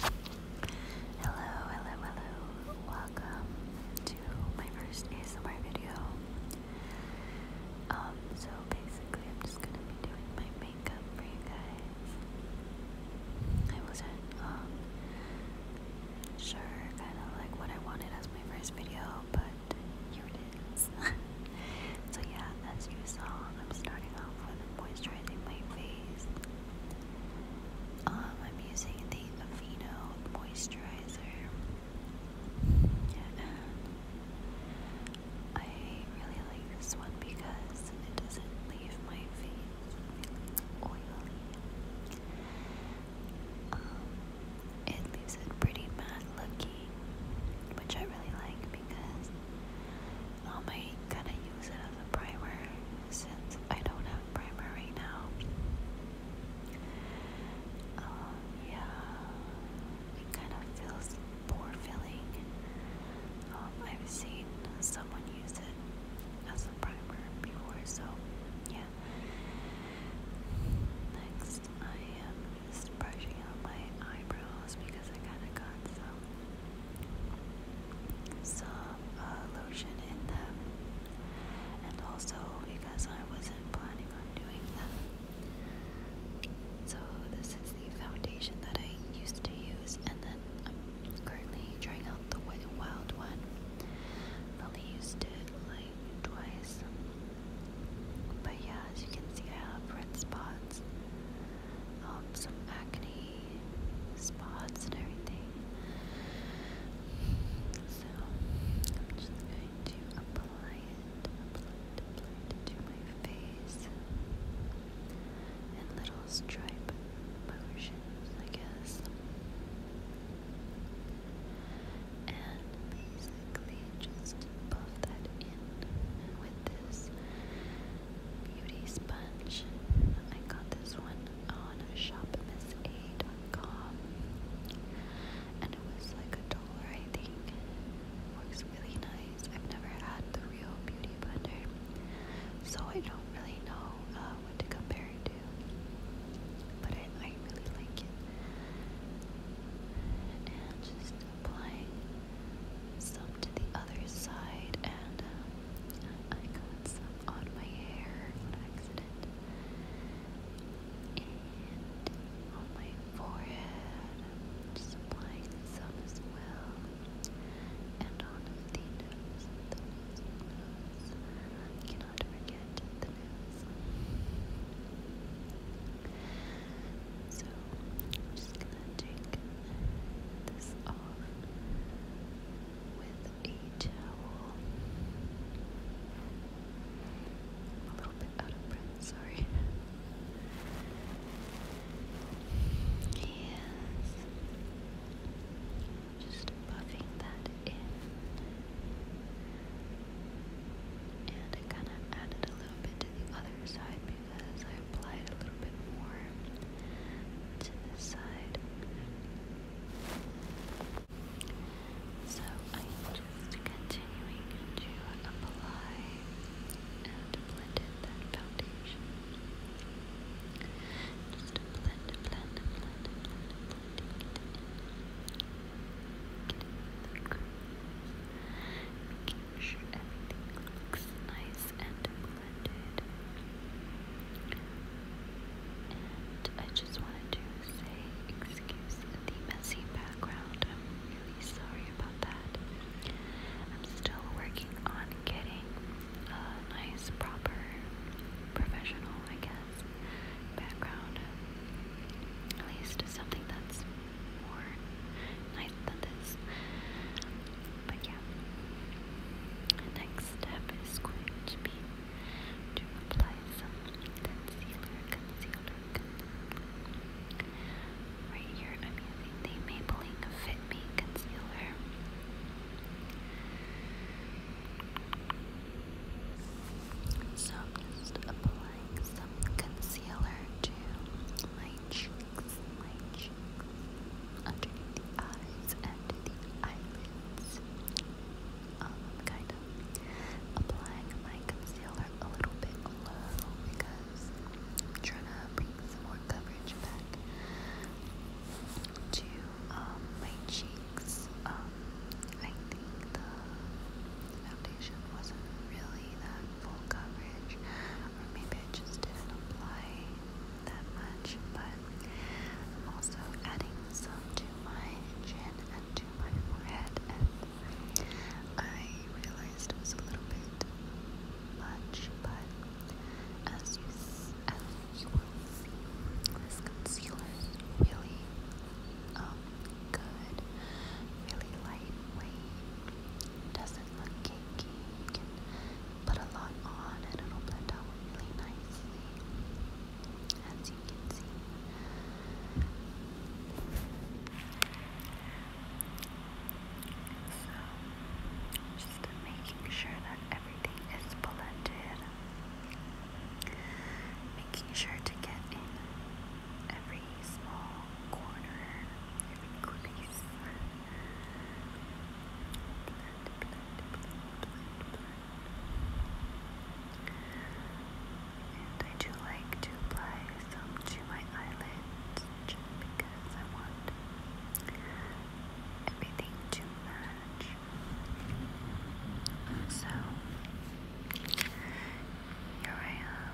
Hello, hello, hello. Welcome to my first ASMR video. Um, so basically I'm just gonna be doing my makeup for you guys. I wasn't um sure kinda like what I wanted as my first video, but here it is. so yeah, as you saw, I'm starting off with moisturizing my face. Um, I'm using the Aveeno moisturizer. Uh, I really like this one because it doesn't leave my face oily. Um, it leaves it pretty matte looking, which I really like because um, I kind of use it as a primer since I don't have primer right now. Um, yeah, it kind of feels poor filling. Um, I've seen someone use it as a primer before, so yeah. Next, I am just brushing out my eyebrows because I kind of got some some uh, lotion in them, and also because I wasn't planning on doing them. So, this is the foundation that I used to use, and then I'm currently trying out the wild one. only used it like twice. But yeah, as you can see, I have red spots. Um, some acne spots and everything. So I'm just going to apply it, apply it to my face in little stripe motions, I guess. And basically just buff that in with this beauty sponge. I got this one on shopmissa.com and it was like a dollar I think. Works really nice. I've never had the real beauty blender, so I don't really know uh, what to compare it to. But I, I really like it. And just applying some to the other side, and um, I got some on my hair on accident, and on my forehead, just applying some as well, and on the nose, cannot forget the nose. So, I'm just gonna take this off with a towel. I'm a little bit out of breath, sorry. Yes. Just buffing that in. And I kind of added a little bit to the other side as I applied a little bit more to this side. So I'm just continuing to apply and blend that foundation. Just blend, blend, blend, blend, blend, get in, get in the grooves, making sure everything looks nice and clean. And I just wanted to say, excuse the messy background. I'm really sorry about that. I'm still working on getting a nice, proper, professional, I guess, background. At least something that's more light this. But yeah. next step is going to be to apply some concealer, concealer, concealer. Right here, I'm using the Maybelline Fit Me Concealer. So just applying some concealer to my cheek cheeks, my cheeks, underneath the eyes and the eyelids. Um, kind of applying my concealer a little bit low because I'm trying to bring some more coverage back to um, my cheeks. Um, I think the foundation wasn't really that full coverage, or maybe I just didn't apply that much, but I'm also adding some to my chin and to my forehead, and I realized it was a little bit much, but as you, as you will see, this concealer really um, good, really lightweight, doesn't look cakey, put a lot on and it'll blend out really nicely, as you can see. So, just making sure that everything is blended, making sure to get in every small corner, every crease. And I do like to apply some to my eyelids because I want everything to match. So here I am,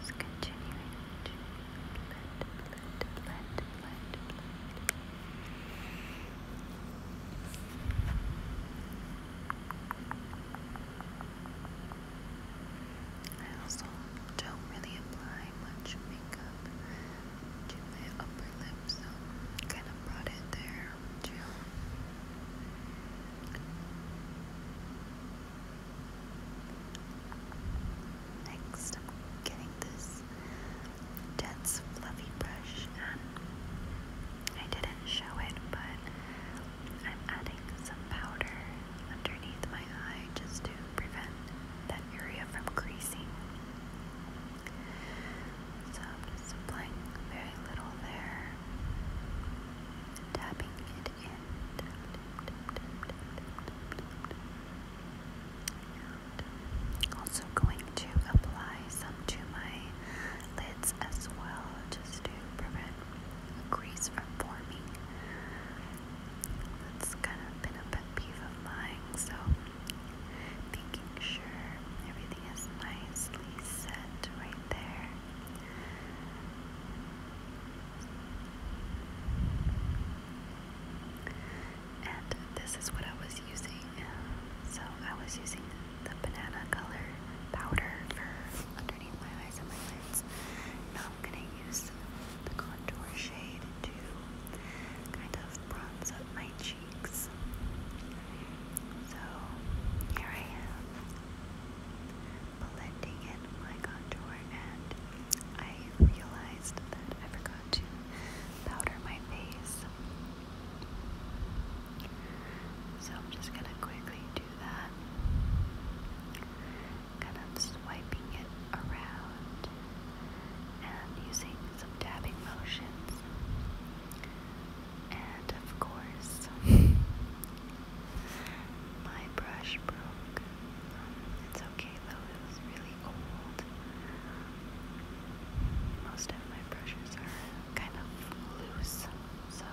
just continuing to blend, blend, blend, I also don't really apply much makeup to my upper lip, so kind of brought it there too. Next, I'm getting this dense fluffy brush and I didn't show it, but I'm adding some powder underneath my eye just to prevent that area from creasing. So I'm just applying very little there, tapping it in. And also going to apply some to my lids as well, just to prevent grease from forming. That's kind of been a pet peeve of mine, so making sure everything is nicely set right there. And this is what I was using. So I was using the banana color powder for underneath my eyes and my lids. Now I'm going to use the contour shade to kind of bronze up my cheeks. So here I am, blending in my contour and I realized that I forgot to powder my face. So I'm just gonna quickly do that. Kind of swiping it around and using some dabbing motions. And of course, my brush broke. it's okay though, it was really old. Most of my brushes are kind of loose, so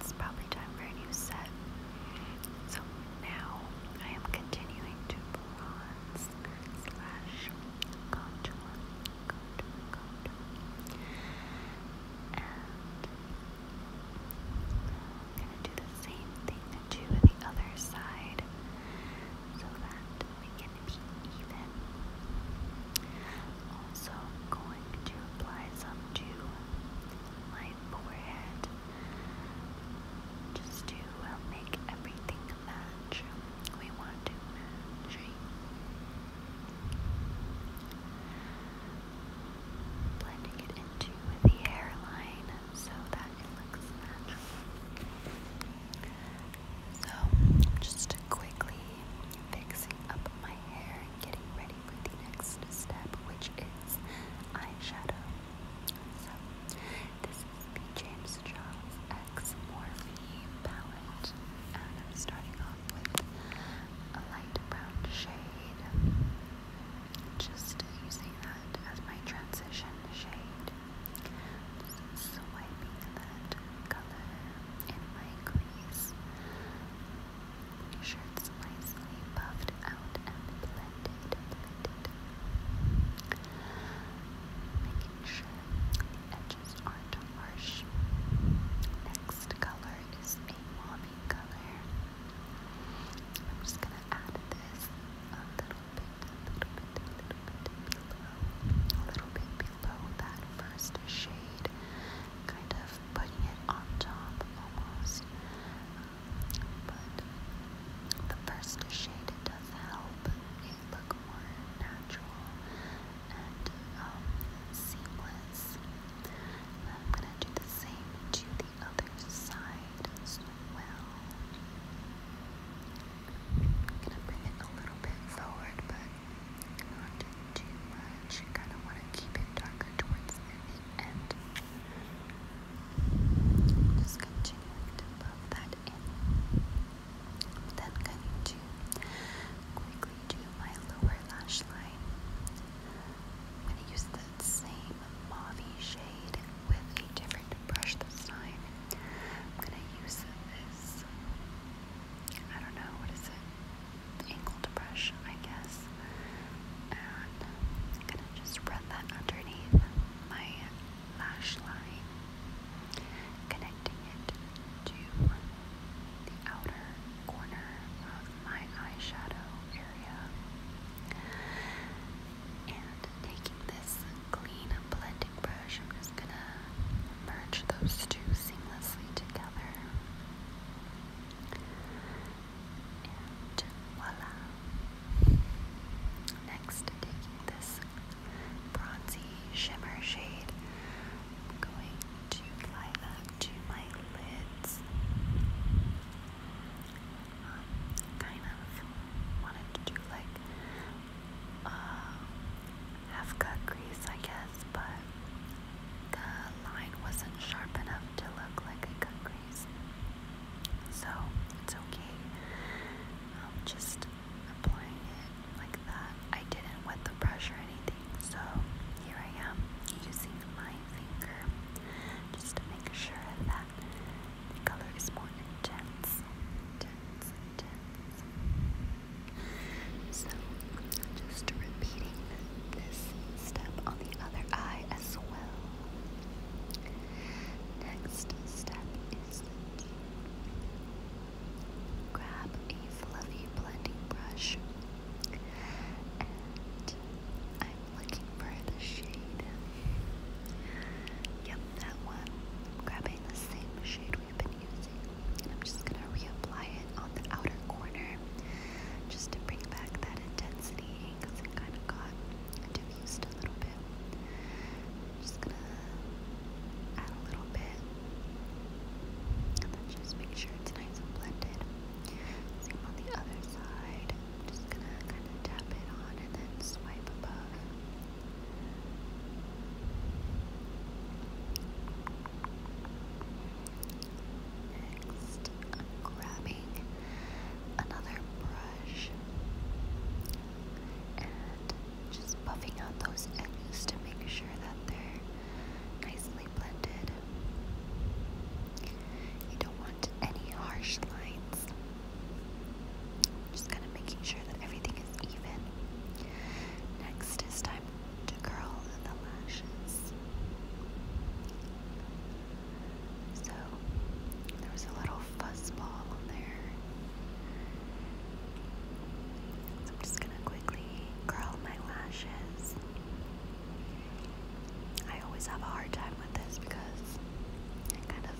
it's probably time for a new set. So now I am continuing to bronze slash contour, contour, contour. I'm going to do the same thing to the other side so that we can be even. Also, going to apply some to my forehead just to uh, make everything match. We want to match blending it into the hairline so that it looks natural. So, just quickly fixing up my hair getting ready for the next step, which is eyeshadow. So, this is the James Charles X Morphe palette, and I'm starting off with a light brown shade just using that as my transition shade. Just swiping that color in my crease. Make sure it's nicely buffed out and blended, Making sure the edges aren't harsh. Next color is a mommy color. I'm just gonna add this a little bit, a little bit, a little bit below, a little bit below that first shade, kind of putting it on top almost. but the first shade does help it look more natural and um, seamless. I'm gonna do the same to other side as well. gonna bring it a little bit forward, but not too much. You kind want to keep it darker towards the end. Just continuing to pop that in. then going to quickly do my lower lash line. I'm going to use the same mauvey shade with a different brush this time. I'm gonna use this, I don't know, what is it? Angled brush, I guess. gonna just run that underneath my lash line, connecting it to the outer corner my eyeshadow area. And taking this clean blending brush, I'm just going to merge those two seamlessly together. And voila! Next, taking this bronzy shimmer shade, I'm going to apply that to my lids. Um, kind of wanted to do like uh, half cut crease, I guess, but the line wasn't sharp enough to look like a cut crease. So it's okay. Um, just applying it like that. I didn't wet the brush or anything, so here I am using my just make sure that color is more intense, So, just repeating this step on the other eye as well. Next step is grab a fluffy blending brush, looking for the shade. Yep, that one. I'm grabbing the same shade we've been using, and I'm just gonna reapply it on the outer corner just to bring back that intensity because it kind of got diffused a little bit. just gonna add a little bit, and just make sure it's nice and blended. Same on the other side just gonna kind of tap it on and then swipe above. Next, grabbing another brush and just buffing out those edges to make sure that they're nice blended. You don't want any harsh lines. Just kind of making sure that everything is even. Next is time to curl the lashes. So there was a little fuzz there. So I'm just gonna quickly curl my lashes. I always have a hard time with this because I kind of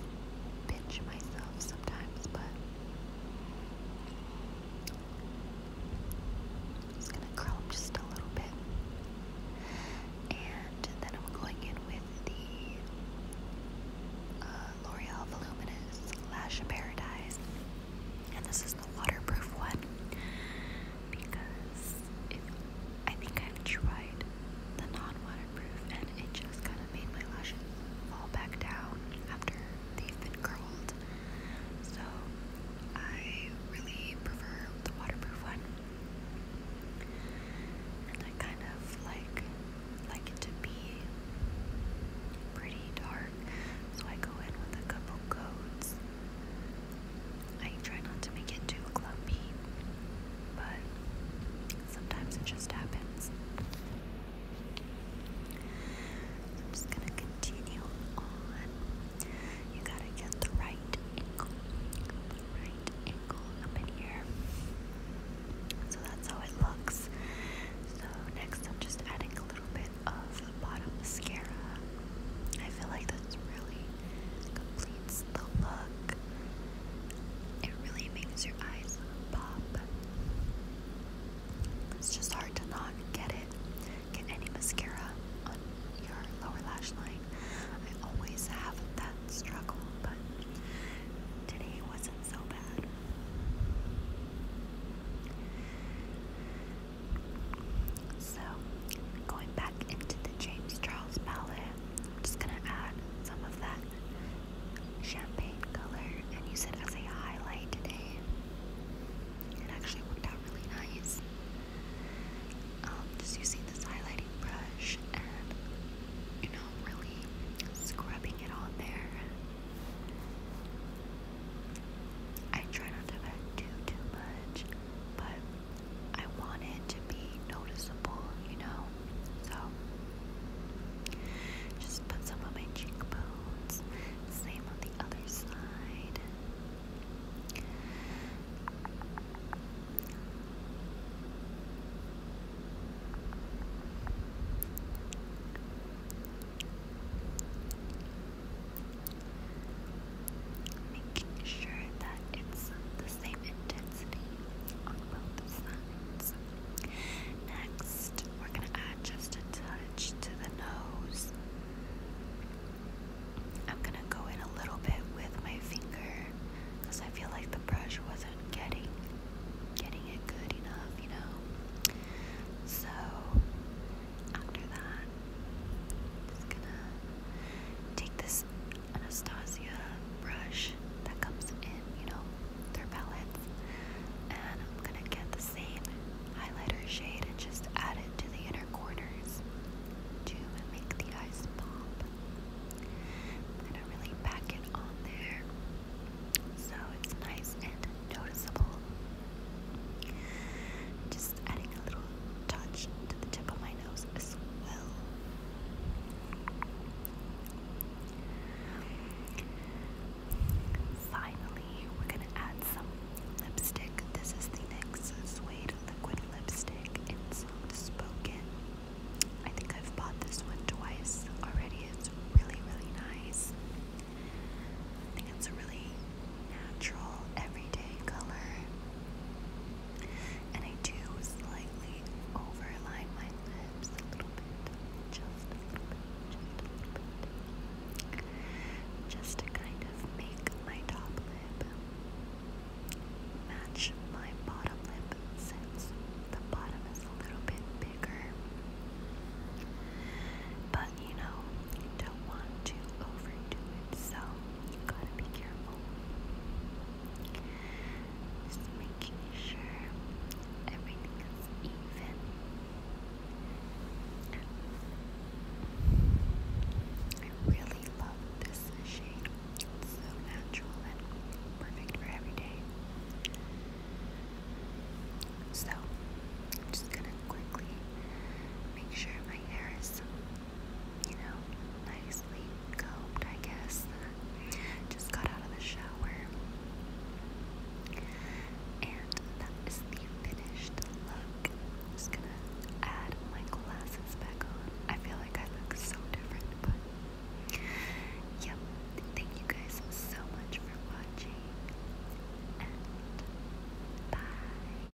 pinch myself sometimes, but I'm just gonna curl up just a little bit. And then I'm going in with the uh, L'Oreal Voluminous Lash Paradise. And this is the waterproof one because I think I've tried the non-waterproof and it just kind of made my lashes fall back down after they've been curled. So I really prefer the waterproof one. I kind of like like it to be pretty dark. So I go in with a couple coats I try not to make it too clumpy, but sometimes it just happens. I'm just gonna continue on. You gotta get the right angle, the right angle up in here. So that's how it looks. So next, i just adding a little bit of bottom mascara. I feel like that's really completes the look. It really makes your eyes pop. It's just hard to not get it. Get any mascara on your lower lash line. I always have that struggle, but today wasn't so bad. So, going back into the James Charles palette, I'm just gonna add some of that champagne color and use it as a highlight today. It actually worked out really nice. Um, just using this highlighting brush and, you know, really scrubbing it on there. I try not to put too, too much, but I want it to be noticeable, you know? So, just put some on my cheekbones, same on the other side making sure that it's the same intensity on both sides. Next, we're going to add just a touch to the nose. I'm going to go in a little bit with my finger because I feel like the brush wasn't getting getting it good enough, you know. So after that, just gonna take this Anastasia brush that comes in, you know, their palettes, and I'm gonna get the same highlighter shade and just add it to the inner corners to make the eyes pop. gonna really pack it on there so it's nice and noticeable. Just adding a little touch to the tip of my nose as well. Finally, we're gonna add some lipstick. This is the NYX Suede Liquid Lipstick in Soft Spoken. I think I've bought this one twice already. It's really, really nice. I think it's a really natural, everyday color. And I do slightly overline my lips a little bit, just a little bit, just a little bit. Just to kind of make my top lip match my bottom lip since the bottom is a little bit bigger. But you know, you don't want to overdo it, so gotta be careful. Just making sure everything is even. I really love this shade. It's so natural and perfect for every day. So, am just gonna quickly make sure my hair is you know, nicely combed, I guess. Just got out of the shower. And that is the finished look. just gonna add my glasses back on. I feel like I look so different, but yep. Thank you guys so much for watching. And bye.